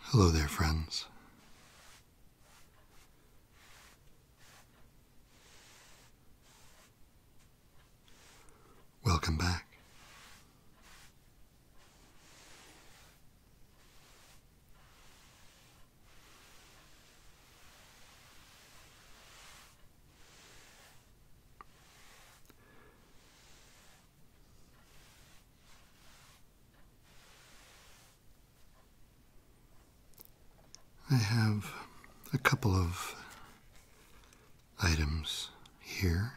Hello there, friends. Welcome back. I have a couple of items here.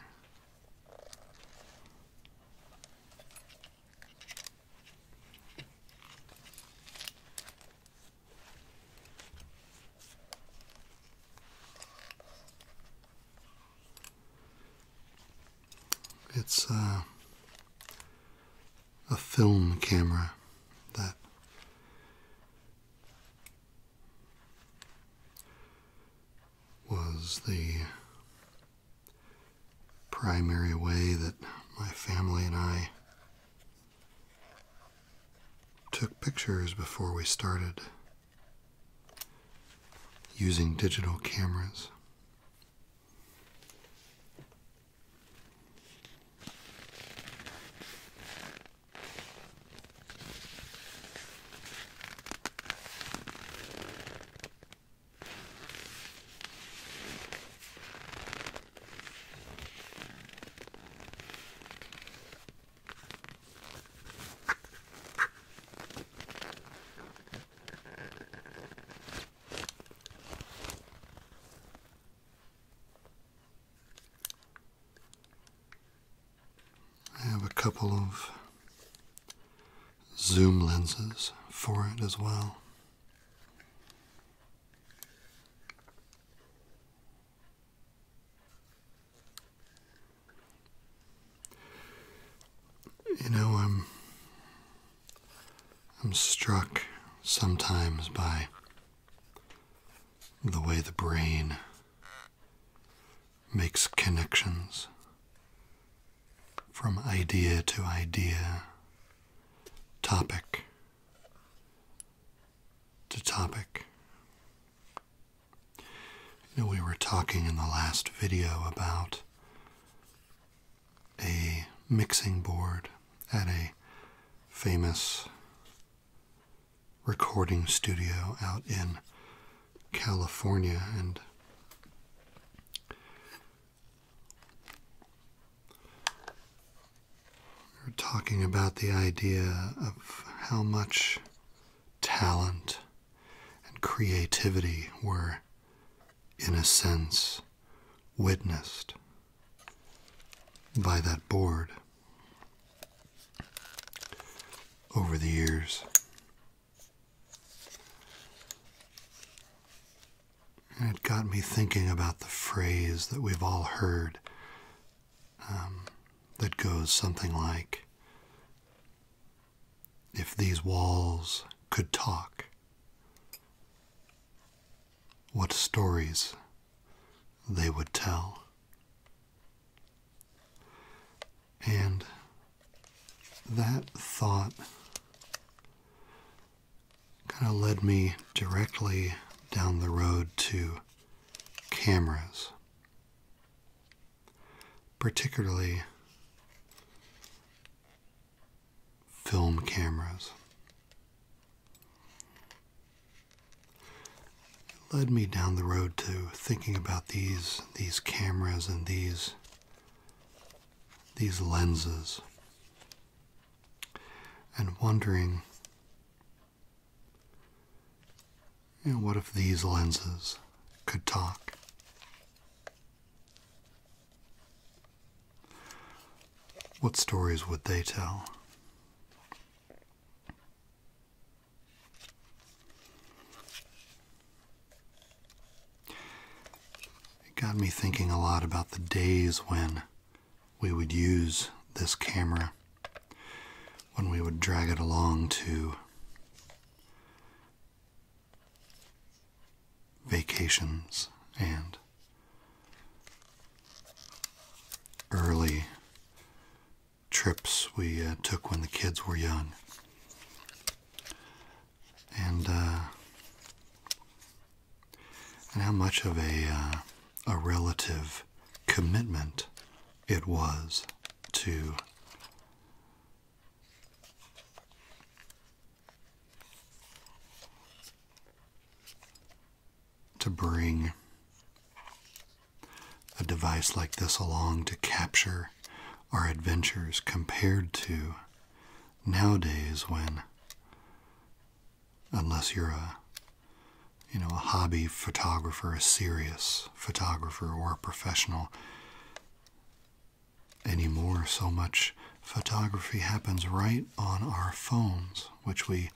It's uh, a film camera that was the primary way that my family and I Took pictures before we started using digital cameras. I have a couple of zoom lenses for it as well. You know, I'm I'm struck sometimes by the way the brain makes connections from idea to idea, topic to topic we were talking in the last video about a mixing board at a famous recording studio out in California and we are talking about the idea of how much talent and creativity were, in a sense, witnessed by that board over the years. it got me thinking about the phrase that we've all heard um, that goes something like If these walls could talk, what stories they would tell. And that thought kind of led me directly down the road to cameras, particularly film cameras. led me down the road to thinking about these these cameras and these these lenses and wondering and what if these lenses could talk? What stories would they tell? It got me thinking a lot about the days when we would use this camera when we would drag it along to vacations and early trips we uh, took when the kids were young. And, uh, and how much of a, uh, a relative commitment it was to to bring a device like this along to capture our adventures compared to nowadays when unless you're a you know, a hobby photographer, a serious photographer, or a professional anymore. So much photography happens right on our phones, which we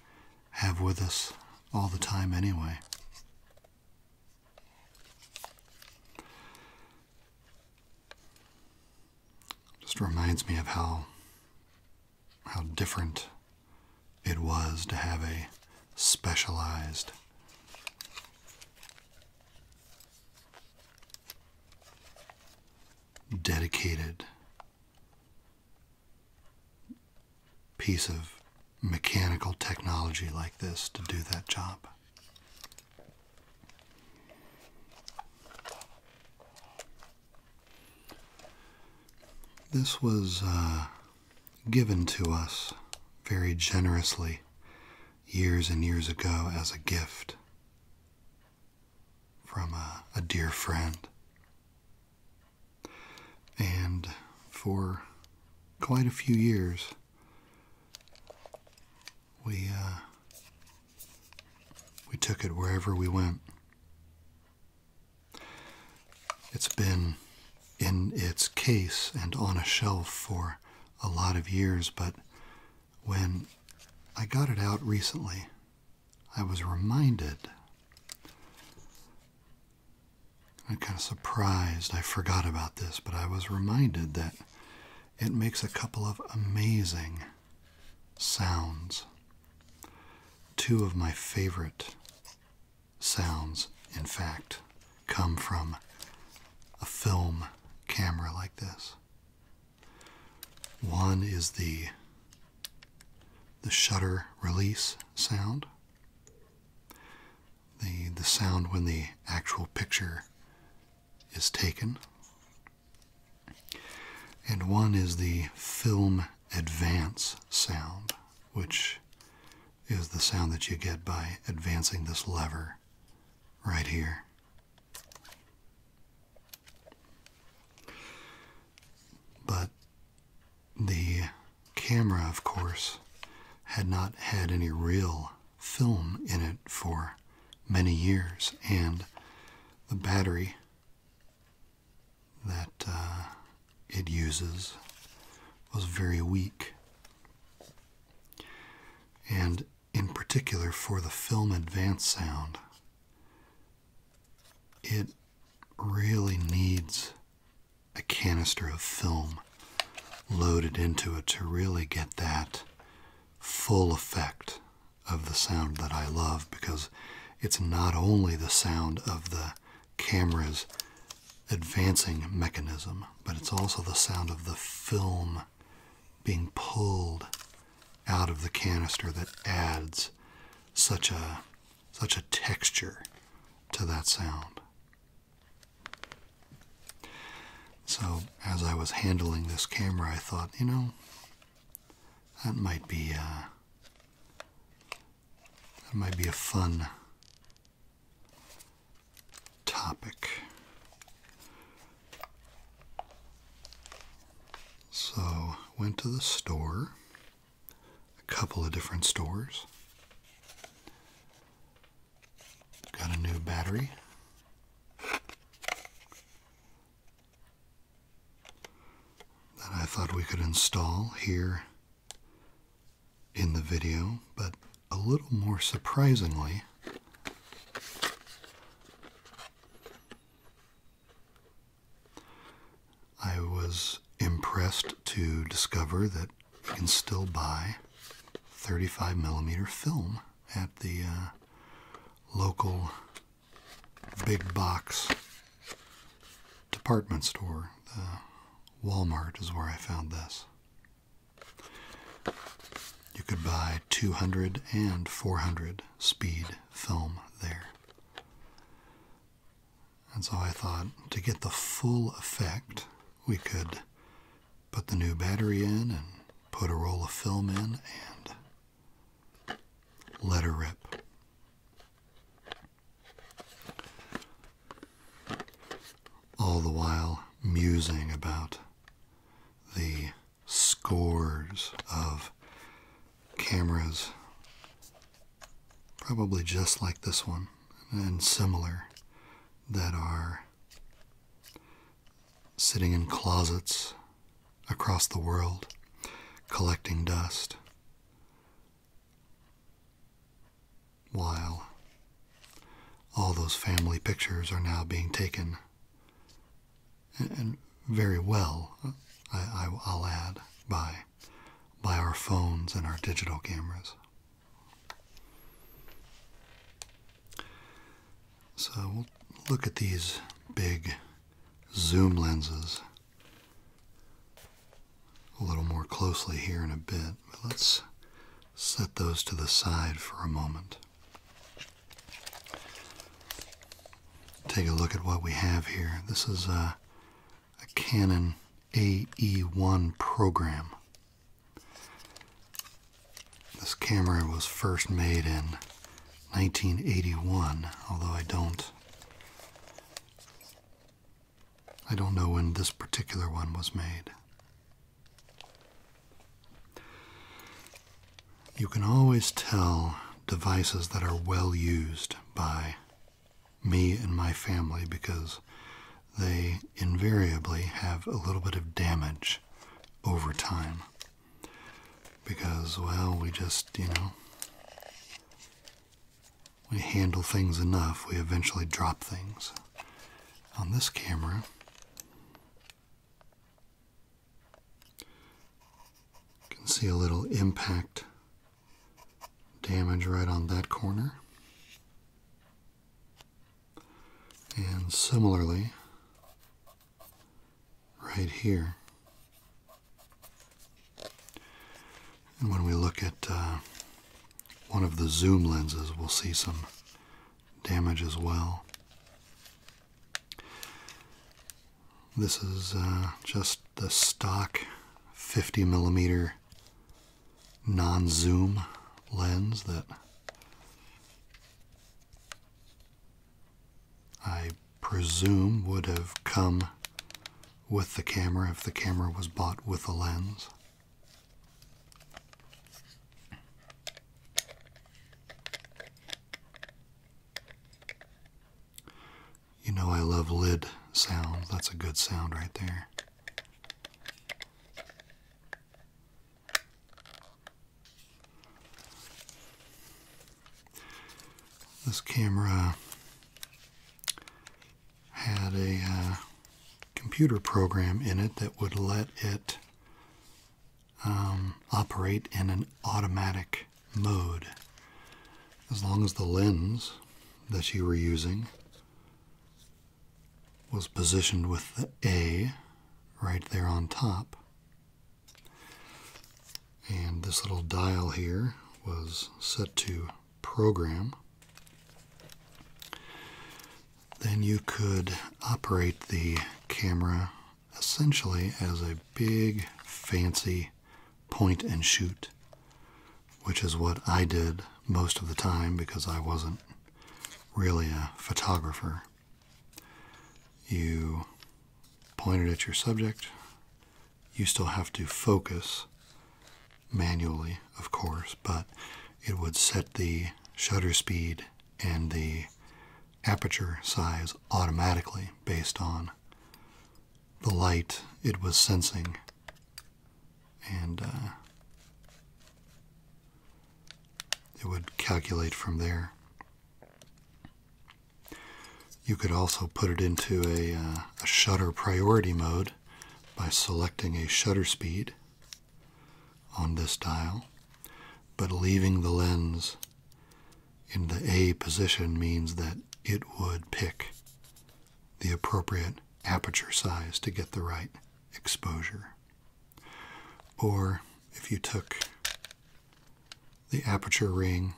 have with us all the time anyway. Just reminds me of how how different it was to have a specialized dedicated piece of mechanical technology like this to do that job. This was uh, given to us very generously years and years ago as a gift from a, dear friend. And for quite a few years, we uh, we took it wherever we went. It's been in its case and on a shelf for a lot of years, but when I got it out recently, I was reminded. I'm kind of surprised I forgot about this, but I was reminded that it makes a couple of amazing sounds. Two of my favorite sounds, in fact, come from a film camera like this. One is the the shutter release sound. The the sound when the actual picture is taken. And one is the film advance sound which is the sound that you get by advancing this lever right here. But the camera, of course, had not had any real film in it for many years, and the battery that uh, it uses was very weak. And in particular, for the film advance sound, it really needs a canister of film loaded into it to really get that full effect of the sound that I love because it's not only the sound of the camera's advancing mechanism, but it's also the sound of the film being pulled out of the canister that adds such a such a texture to that sound. So as I was handling this camera, I thought, you know, that might be uh, that might be a fun topic. So, went to the store, a couple of different stores. Got a new battery. That I thought we could install here in the video, but a little more surprisingly, I was impressed to discover that you can still buy 35 millimeter film at the uh, local big box department store, the Walmart is where I found this. You could buy 200 and 400 speed film there. And so I thought to get the full effect, we could put the new battery in and put a roll of film in and let her rip all the while musing about the scores of cameras, probably just like this one and similar, that are sitting in closets across the world collecting dust while all those family pictures are now being taken, and very well, I, will add, by, by our phones and our digital cameras. So we'll look at these big zoom lenses a little more closely here in a bit, let's set those to the side for a moment. Take a look at what we have here. This is a Canon AE1 program. This camera was first made in 1981, although I don't I don't know when this particular one was made. You can always tell devices that are well used by me and my family because they invariably have a little bit of damage over time. Because, well, we just, you know, we handle things enough, we eventually drop things. On this camera, you can see a little impact damage right on that corner. And similarly, right here. And when we look at uh, one of the zoom lenses, we'll see some damage as well. This is uh, just the stock 50 millimeter non zoom lens that I presume would have come with the camera if the camera was bought with a lens. You know, I love lid sound. That's a good sound right there. This camera had a uh, computer program in it that would let it um, operate in an automatic mode as long as the lens that you were using was positioned with the A right there on top. And this little dial here was set to program, then you could operate the camera essentially as a big fancy point and shoot, which is what I did most of the time because I wasn't really a photographer. You pointed at your subject, you still have to focus manually, of course, but it would set the shutter speed and the aperture size automatically based on the light it was sensing. And uh, it would calculate from there. You could also put it into a uh, shutter priority mode by selecting a shutter speed on this dial, but leaving the lens in the A position means that it would pick the appropriate aperture size to get the right exposure. Or if you took the aperture ring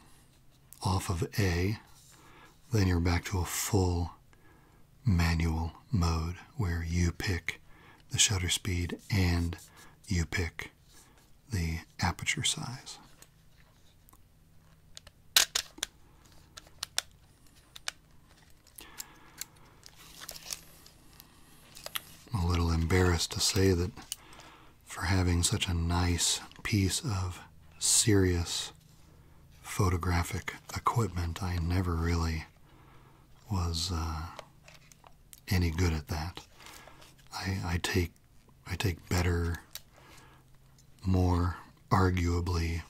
off of A, then you're back to a full manual mode where you pick the shutter speed and you pick the aperture size. I'm a little embarrassed to say that for having such a nice piece of serious photographic equipment. I never really was uh, any good at that. I take I take better, more arguably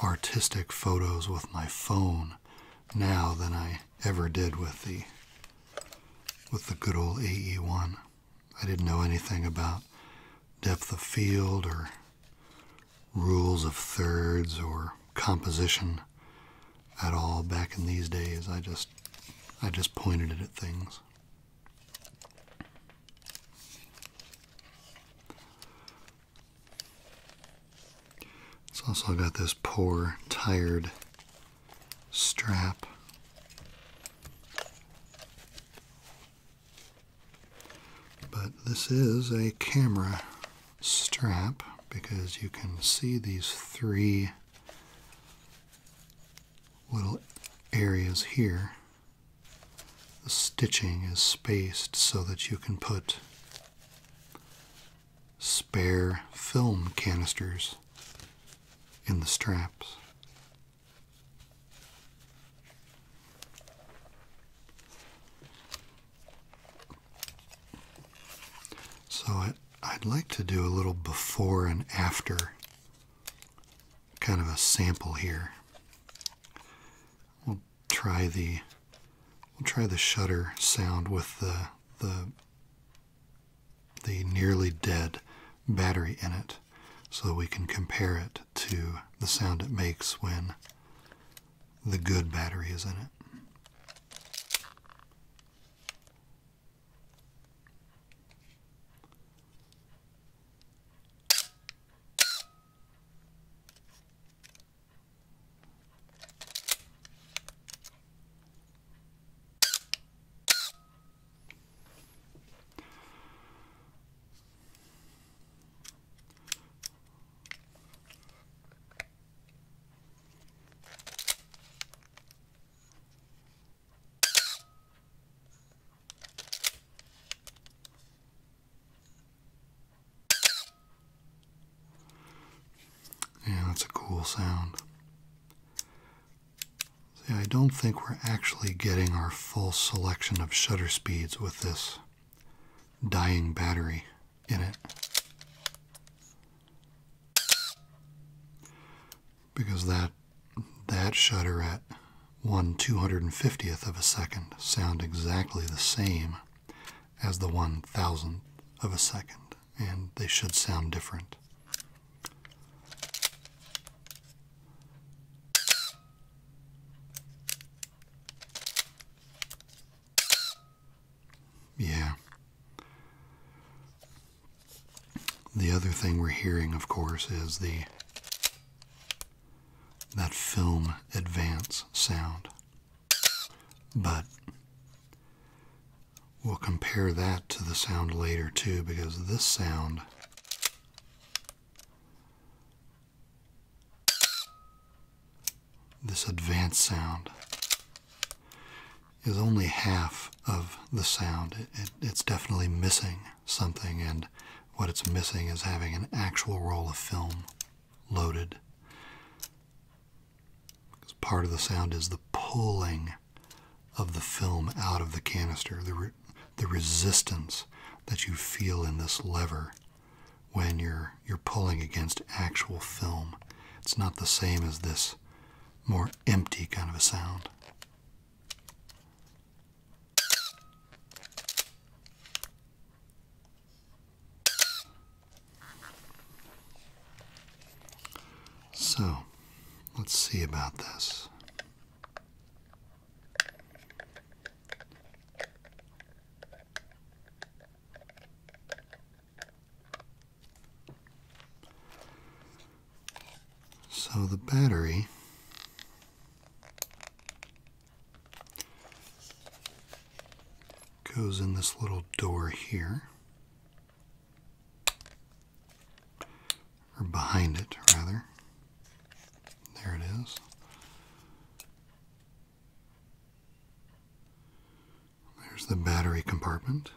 artistic photos with my phone now than I ever did with the with the good old AE1. I didn't know anything about depth of field or rules of thirds or composition at all back in these days. I just I just pointed it at things. It's also got this poor, tired strap. But this is a camera strap because you can see these three little areas here. The stitching is spaced so that you can put spare film canisters in the straps. So I, would like to do a little before and after, kind of a sample here. We'll try the we'll try the shutter sound with the the the nearly dead battery in it so we can compare it to the sound it makes when the good battery is in it. Yeah, that's a cool sound. See, I don't think we're actually getting our full selection of shutter speeds with this dying battery in it. Because that that shutter at 1 250th of a second sound exactly the same as the 1 thousandth of a second, and they should sound different. Yeah. The other thing we're hearing, of course, is the that film advance sound. But we'll compare that to the sound later too because this sound this advanced sound is only half of the sound. it's definitely missing something, and what it's missing is having an actual roll of film loaded. Because part of the sound is the pulling of the film out of the canister, the resistance that you feel in this lever when you're you're pulling against actual film. It's not the same as this more empty kind of a sound. So, let's see about this. So the battery goes in this little door here or behind it rather. There it is. There's the battery compartment.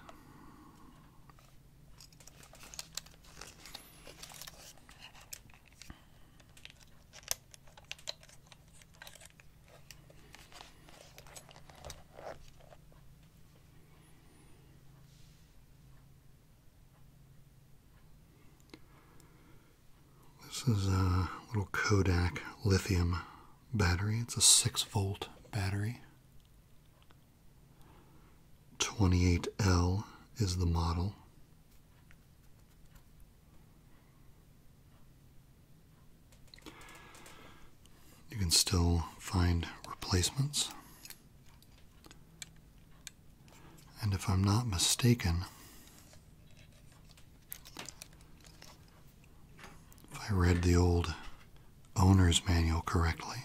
This is a little Kodak lithium battery. It's a 6 volt battery. 28L is the model. You can still find replacements. And if I'm not mistaken, if I read the old owner's manual correctly,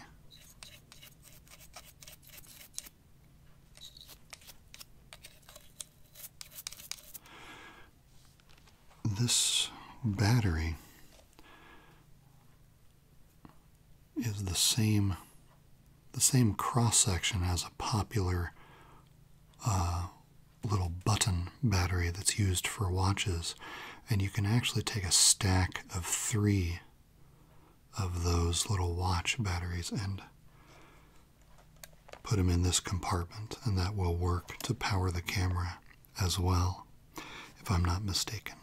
this battery is the same the same cross section as a popular uh, little button battery that's used for watches, and you can actually take a stack of three of those little watch batteries and put them in this compartment, and that will work to power the camera as well, if I'm not mistaken.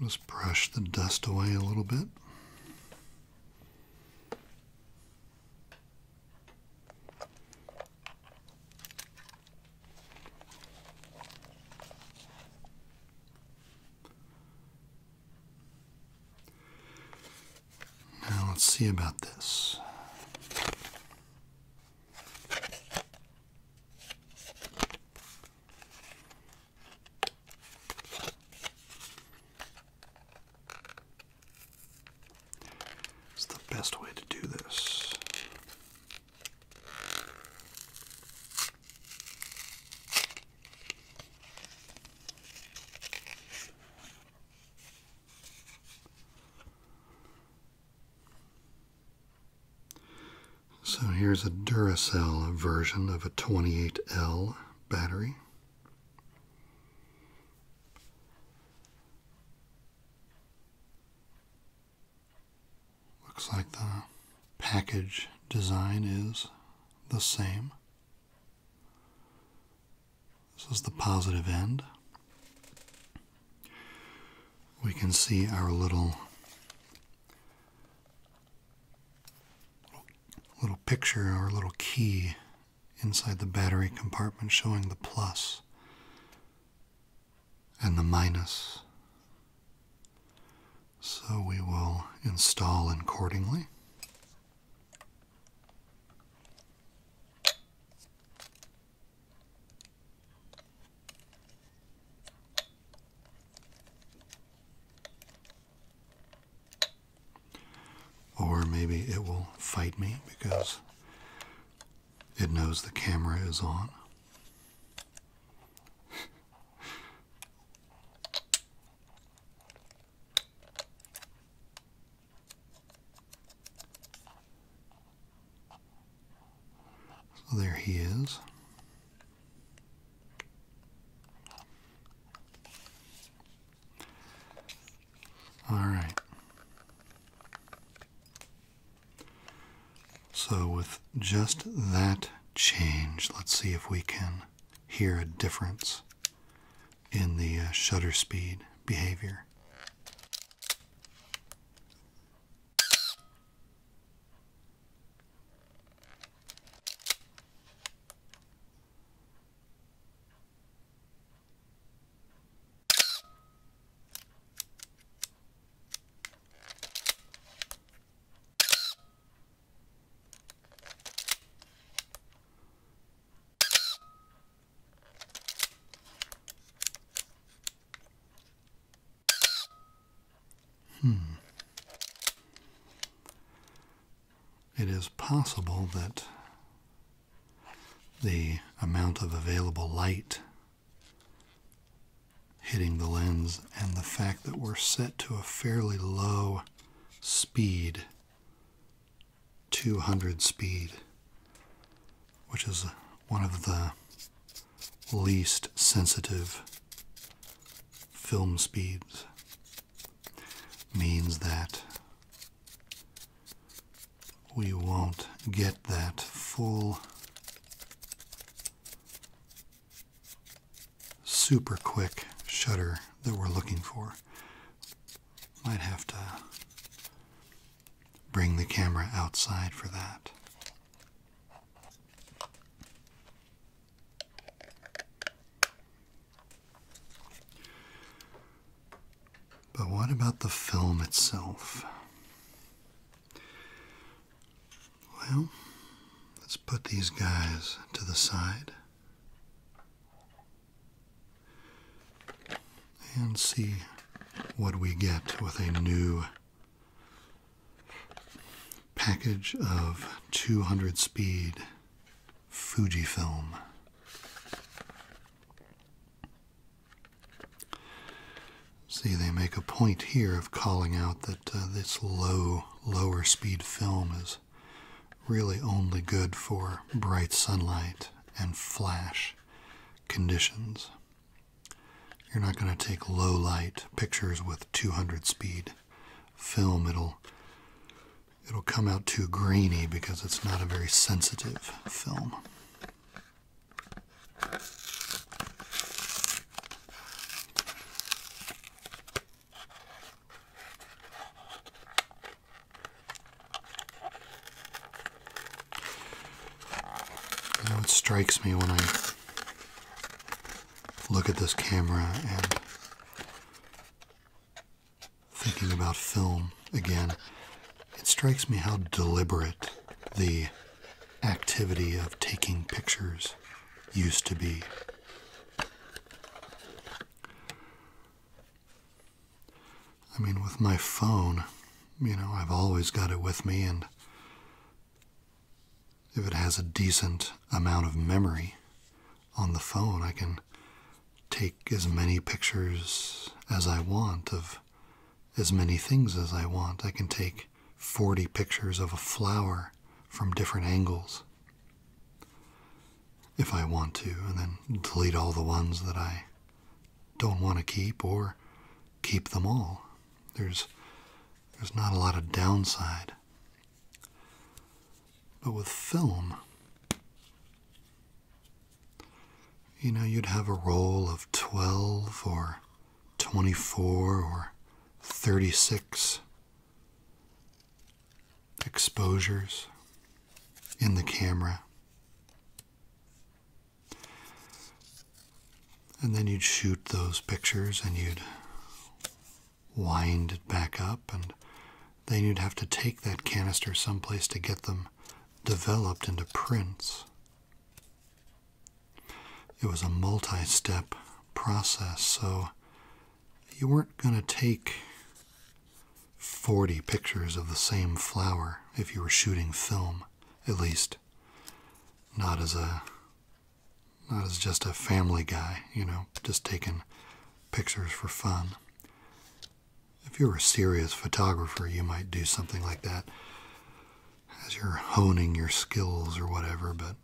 Just brush the dust away a little bit. Now let's see about this. It's the best way to do this. So here's a Duracell version of a 28L battery. Looks like the package design is the same. This is the positive end. We can see our little little picture, our little key inside the battery compartment showing the plus and the minus. So we will install accordingly. Or maybe it will fight me because it knows the camera is on. there he is. All right. So, with just that change, let's see if we can hear a difference in the uh, shutter speed behavior. Hmm. It is possible that the amount of available light hitting the lens and the fact that we're set to a fairly low speed 200 speed which is one of the least sensitive film speeds means that we won't get that full super quick shutter that we're looking for. Might have to bring the camera outside for that. But what about the film itself? Well, let's put these guys to the side and see what we get with a new package of 200 speed Fujifilm. See, they make a point here of calling out that uh, this low, lower speed film is really only good for bright sunlight and flash conditions. You're not going to take low light pictures with 200 speed film. It'll it'll come out too grainy because it's not a very sensitive film. You it strikes me when I look at this camera and thinking about film again, it strikes me how deliberate the activity of taking pictures used to be. I mean, with my phone, you know, I've always got it with me, and if it has a decent amount of memory on the phone, I can take as many pictures as I want of as many things as I want. I can take 40 pictures of a flower from different angles if I want to, and then delete all the ones that I don't want to keep or keep them all. There's there's not a lot of downside. But with film, you know, you'd have a roll of 12 or 24 or 36 exposures in the camera. And then you'd shoot those pictures and you'd wind it back up, and then you'd have to take that canister someplace to get them developed into prints. It was a multi step process, so you weren't going to take 40 pictures of the same flower if you were shooting film, at least not as a not as just a family guy, you know, just taking pictures for fun. If you were a serious photographer, you might do something like that as you're honing your skills or whatever, but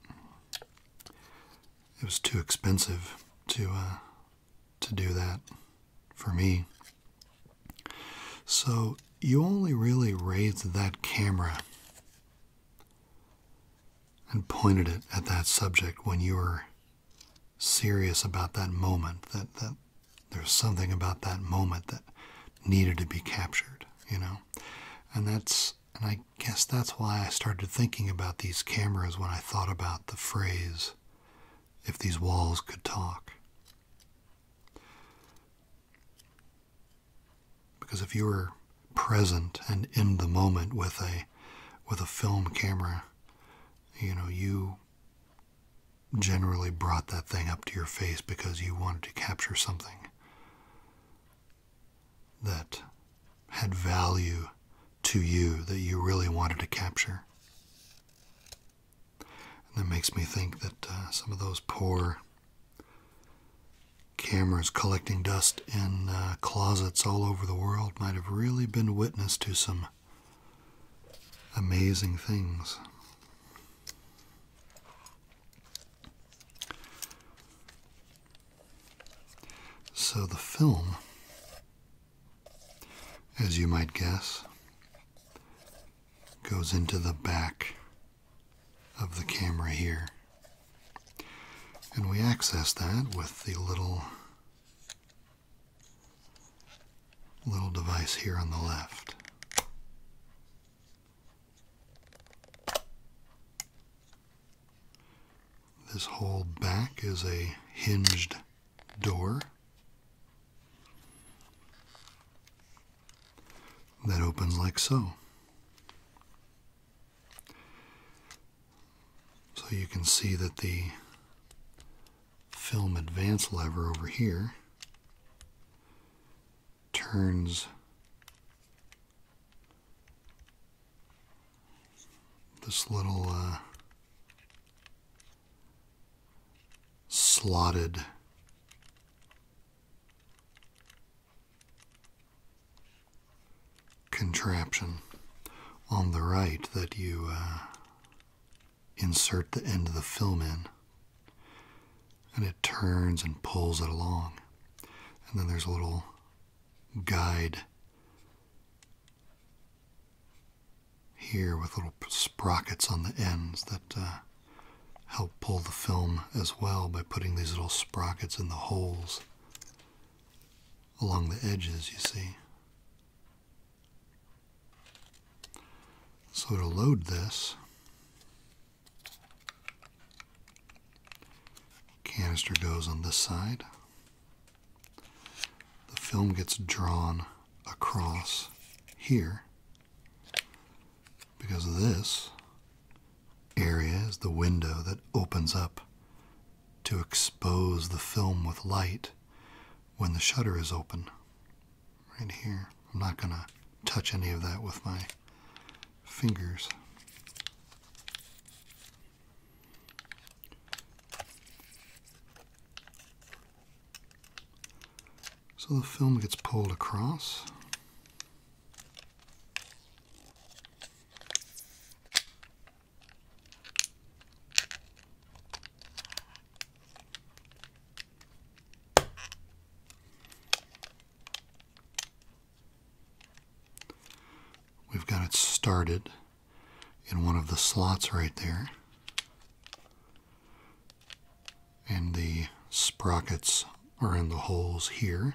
it was too expensive to uh, to do that for me. So you only really raised that camera and pointed it at that subject when you were serious about that moment that that there's something about that moment that needed to be captured you know and that's and i guess that's why i started thinking about these cameras when i thought about the phrase if these walls could talk because if you were present and in the moment with a with a film camera you know you generally brought that thing up to your face because you wanted to capture something that had value to you that you really wanted to capture. that makes me think that uh, some of those poor cameras collecting dust in uh, closets all over the world might have really been witness to some amazing things. So the film, as you might guess, goes into the back of the camera here. And we access that with the little little device here on the left. This whole back is a hinged door that opens like so. So you can see that the film advance lever over here turns this little uh, slotted contraption on the right that you uh, insert the end of the film in, and it turns and pulls it along. And then there's a little guide here with little sprockets on the ends that uh, help pull the film as well by putting these little sprockets in the holes along the edges, you see. So to load this, canister goes on this side. The film gets drawn across here because this area is the window that opens up to expose the film with light when the shutter is open right here. I'm not going to touch any of that with my fingers. So the film gets pulled across. We've got it started in one of the slots right there. And the sprockets are in the holes here.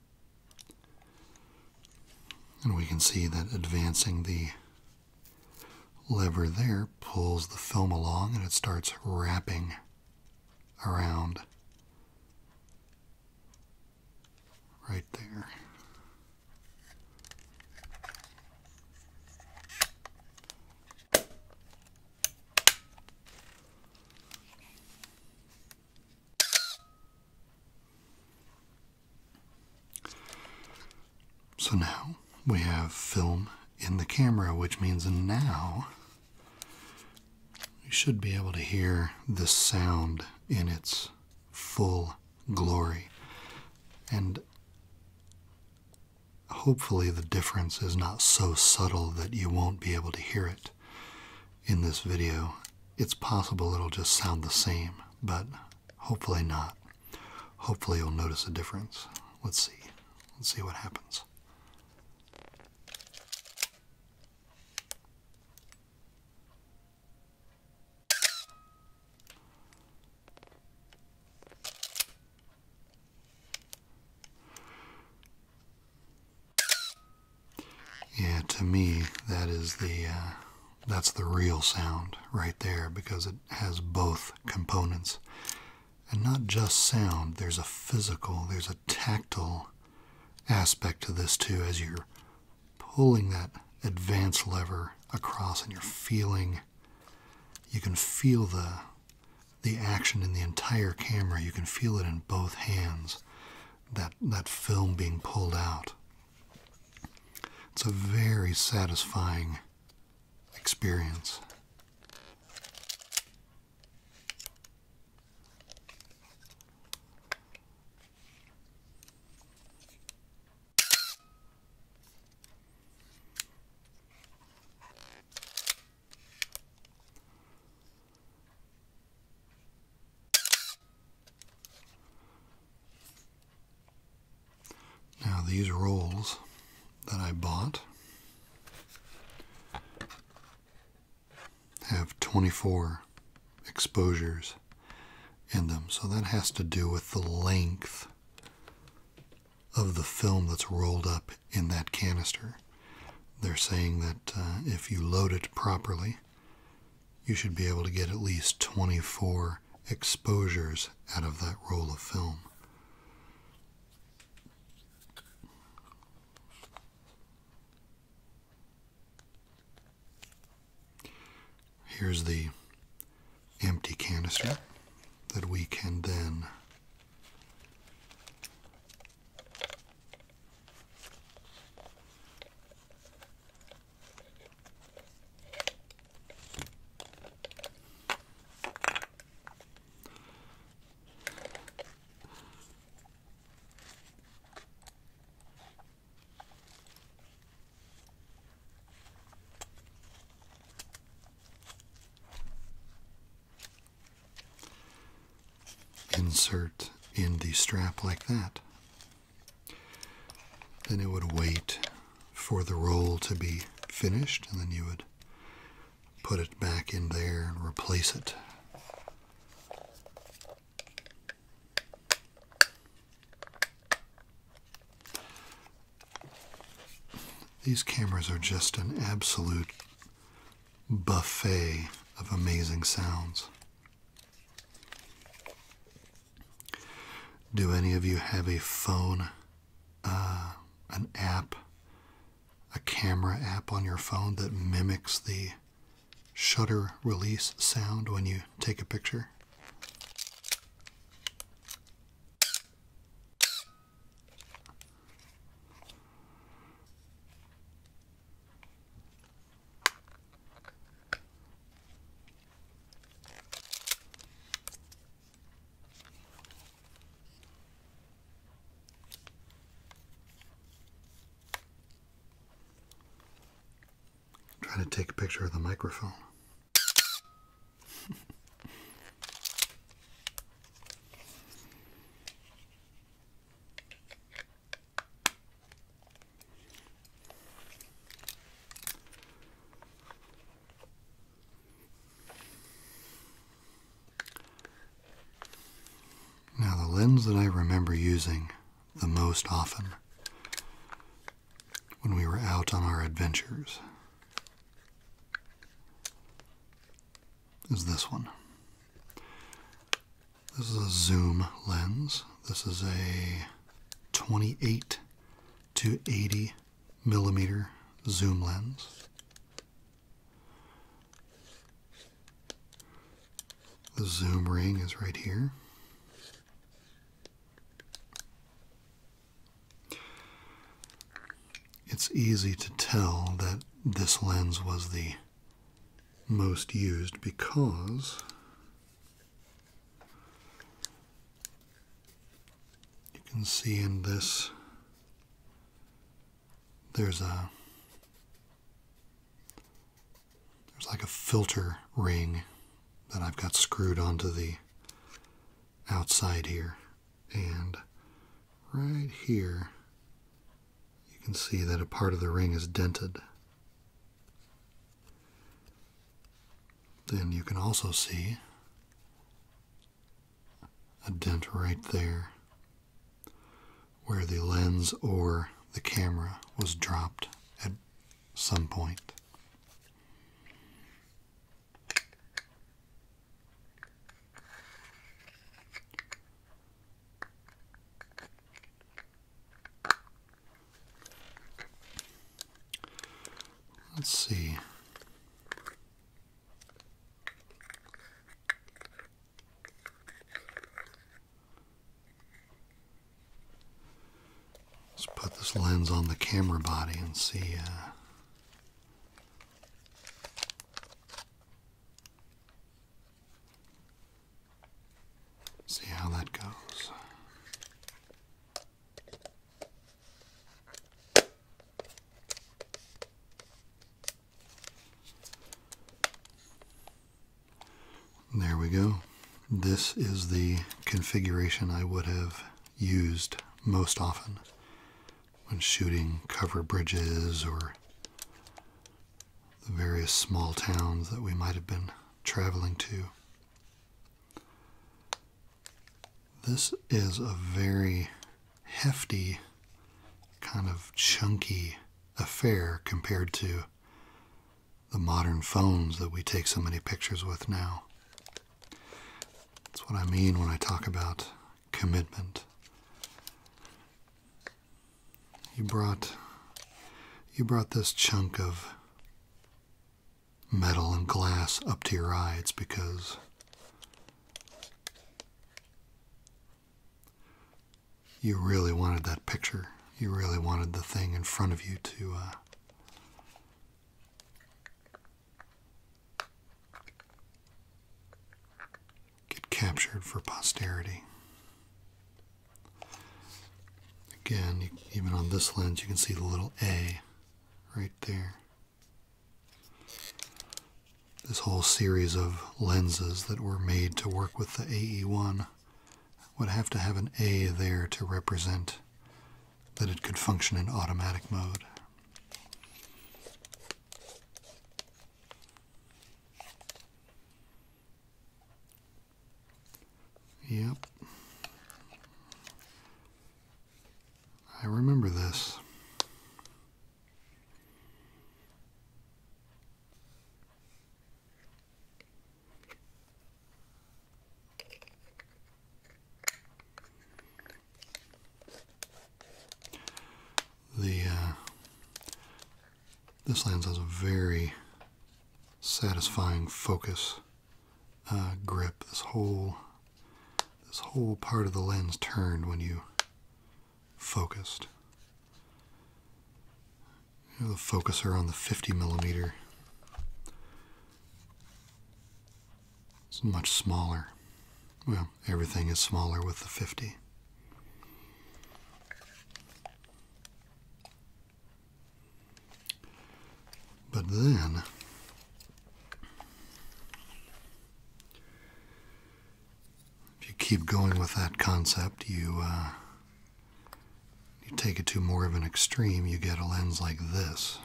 And we can see that advancing the lever there pulls the film along and it starts wrapping around right there. So now we have film in the camera, which means now you should be able to hear the sound in its full glory. And hopefully, the difference is not so subtle that you won't be able to hear it in this video. It's possible it'll just sound the same, but hopefully not. Hopefully, you'll notice a difference. Let's see. Let's see what happens. Yeah, to me, that is the uh, that's the real sound right there because it has both components, and not just sound. There's a physical, there's a tactile aspect to this too, as you're pulling that advance lever across, and you're feeling. You can feel the the action in the entire camera. You can feel it in both hands that that film being pulled out. It's a very satisfying experience. Now these rolls that I bought have 24 exposures in them. So that has to do with the length of the film that's rolled up in that canister. They're saying that uh, if you load it properly, you should be able to get at least 24 exposures out of that roll of film. Here's the empty canister that we can then Insert in the strap like that. Then it would wait for the roll to be finished, and then you would put it back in there and replace it. These cameras are just an absolute buffet of amazing sounds. Do any of you have a phone, uh, an app, a camera app on your phone that mimics the shutter release sound when you take a picture? trying to take a picture of the microphone. Now, the lens that I remember using the most often when we were out on our adventures is this one. This is a zoom lens. This is a 28 to 80 millimeter zoom lens. The zoom ring is right here. It's easy to tell that this lens was the most used because you can see in this there's a there's like a filter ring that I've got screwed onto the outside here and right here you can see that a part of the ring is dented. Then you can also see a dent right there where the lens or the camera was dropped at some point. Let's see. Let's put this lens on the camera body and see. Uh, See how that goes. There we go. This is the configuration I would have used most often when shooting cover bridges or the various small towns that we might have been traveling to. This is a very hefty, kind of chunky affair compared to the modern phones that we take so many pictures with now. That's what I mean when I talk about commitment. You brought you brought this chunk of metal and glass up to your eyes because you really wanted that picture. You really wanted the thing in front of you to uh, get captured for posterity. Again, even on this lens, you can see the little A right there. This whole series of lenses that were made to work with the AE1 would have to have an A there to represent that it could function in automatic mode. Yep. I remember this. The uh, this lens has a very satisfying focus uh, grip. This whole this whole part of the lens turned when you focused. You know, the focuser on the 50 millimeter is much smaller. Well, everything is smaller with the 50. But then, if you keep going with that concept, you, uh, you take it to more of an extreme, you get a lens like this.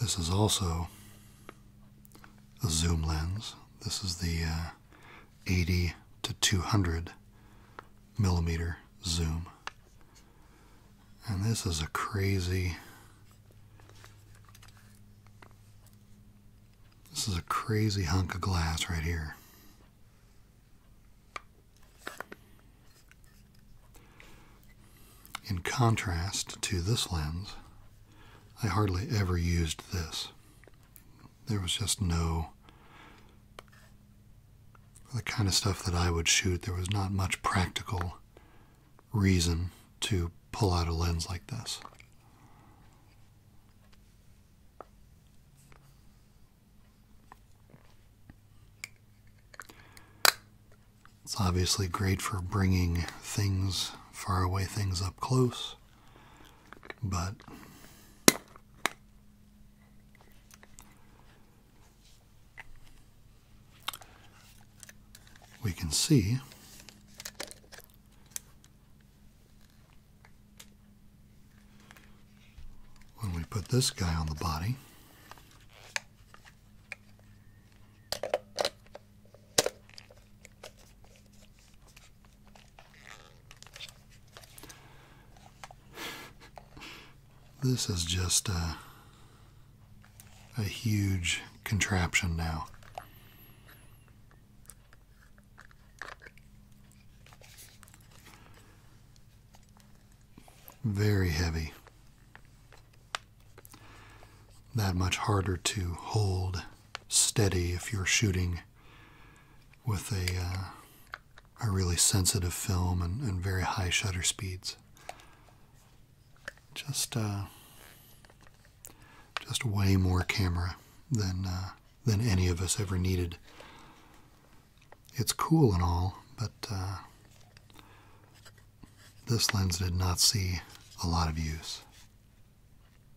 This is also a zoom lens. This is the uh, 80 to 200 millimeter zoom. And this is a crazy, this is a crazy hunk of glass right here. In contrast to this lens, I hardly ever used this. There was just no. The kind of stuff that I would shoot, there was not much practical reason to pull out a lens like this. It's obviously great for bringing things, far away, things up close. But we can see when we put this guy on the body this is just a, huge contraption now. Very heavy. That much harder to hold steady if you're shooting with a, uh, a really sensitive film and, very high shutter speeds. Just uh, just way more camera than uh, than any of us ever needed. It's cool and all, but uh, this lens did not see a lot of use.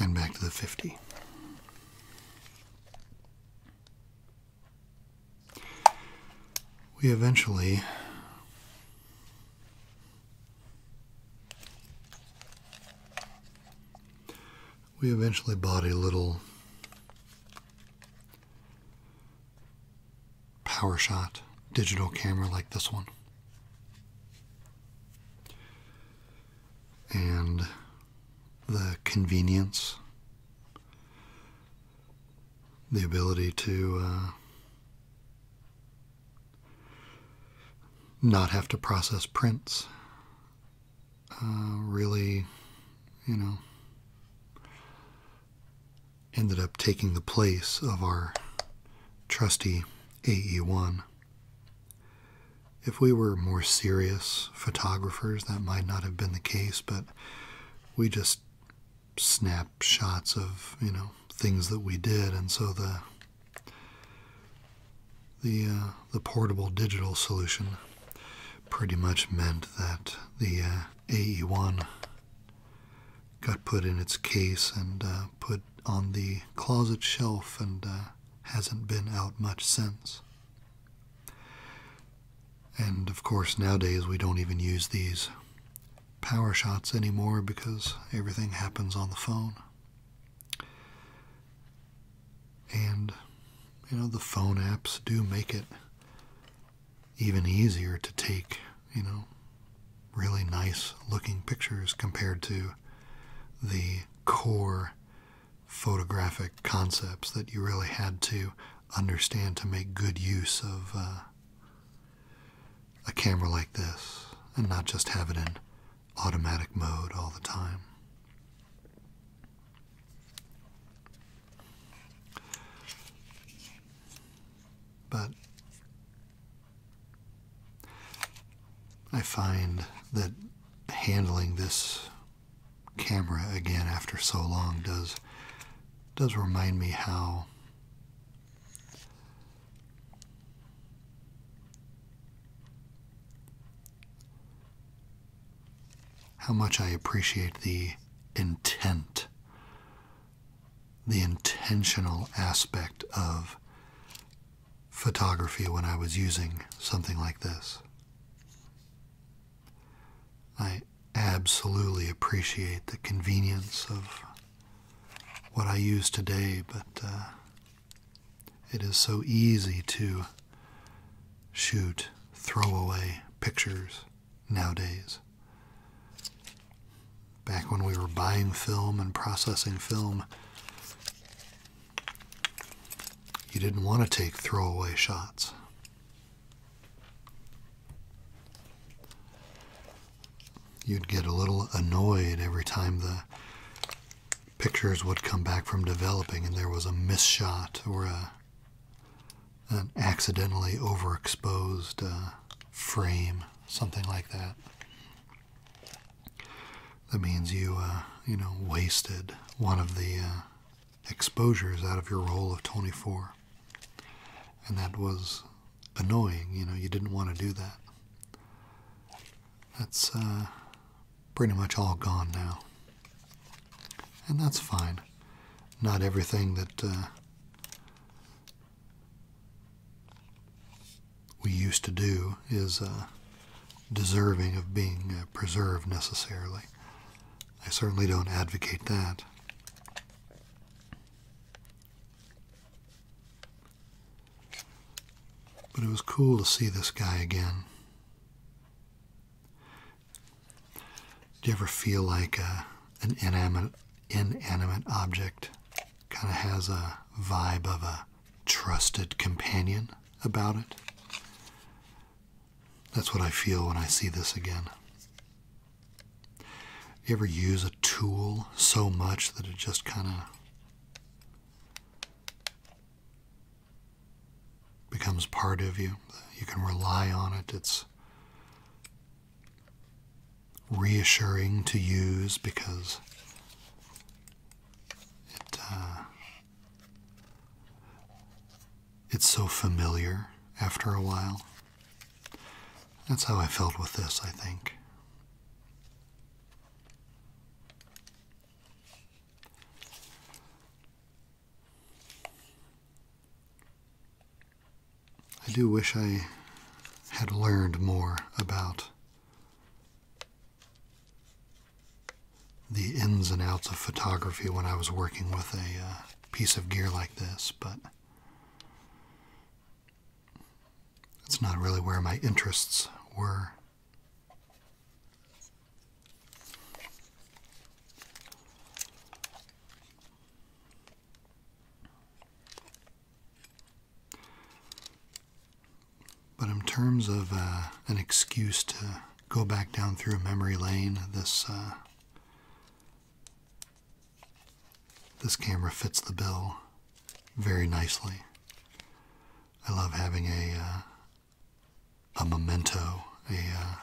And back to the 50. We eventually we eventually bought a little PowerShot digital camera like this one. And the convenience, the ability to uh, not have to process prints uh, really, you know, ended up taking the place of our trusty AE1. If we were more serious photographers, that might not have been the case, but we just snap shots of, you know, things that we did, and so the the uh, the portable digital solution pretty much meant that the uh, AE1 got put in its case and uh, put on the closet shelf and uh, hasn't been out much since. And of course, nowadays we don't even use these power shots anymore because everything happens on the phone. And, you know, the phone apps do make it even easier to take, you know, really nice looking pictures compared to the core photographic concepts that you really had to understand to make good use of uh, a camera like this and not just have it in automatic mode all the time. But I find that handling this camera again after so long does does remind me how how much I appreciate the intent, the intentional aspect of photography when I was using something like this. I absolutely appreciate the convenience of what I use today, but uh, it is so easy to shoot, throwaway pictures nowadays. Back when we were buying film and processing film, you didn't want to take throwaway shots. You'd get a little annoyed every time the pictures would come back from developing and there was a miss shot or a an accidentally overexposed uh, frame, something like that. That means you, uh, you know, wasted one of the uh, exposures out of your roll of 24. And that was annoying, you know, you didn't want to do that. That's pretty much all gone now and that's fine. Not everything that uh, we used to do is uh, deserving of being uh, preserved necessarily. I certainly don't advocate that. But it was cool to see this guy again. Do you ever feel like uh, an inanimate, object kind of has a vibe of a trusted companion about it? That's what I feel when I see this again. Do You ever use a tool so much that it just kind of becomes part of you. You can rely on it. It's reassuring to use because uh, it's so familiar after a while. That's how I felt with this, I think. I do wish I had learned more about the ins and outs of photography when I was working with a uh, piece of gear like this, but it's not really where my interests were. But in terms of uh, an excuse to go back down through a memory lane, this uh, this camera fits the bill very nicely. I love having a uh, a memento, a uh,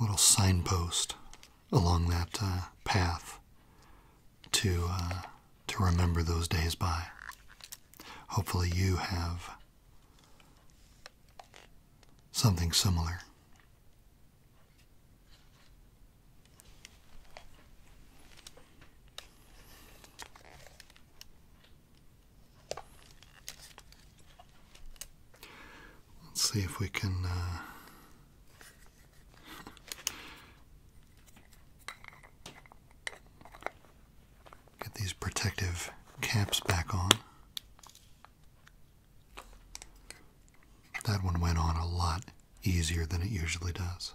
little signpost along that uh, path to uh, to remember those days by. Hopefully, you have something similar. Let's see if we can. Uh, get these protective caps back on. That one went on a lot easier than it usually does.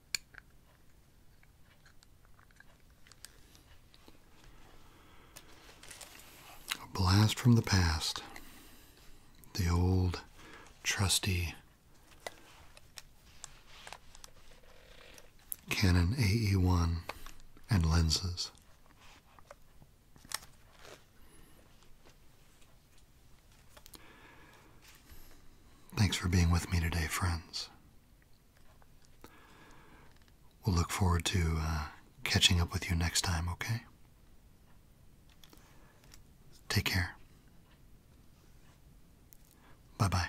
A blast from the past. The old trusty Canon AE1 and lenses. Thanks for being with me today, friends. We'll look forward to uh, catching up with you next time, okay? Take care. Bye bye.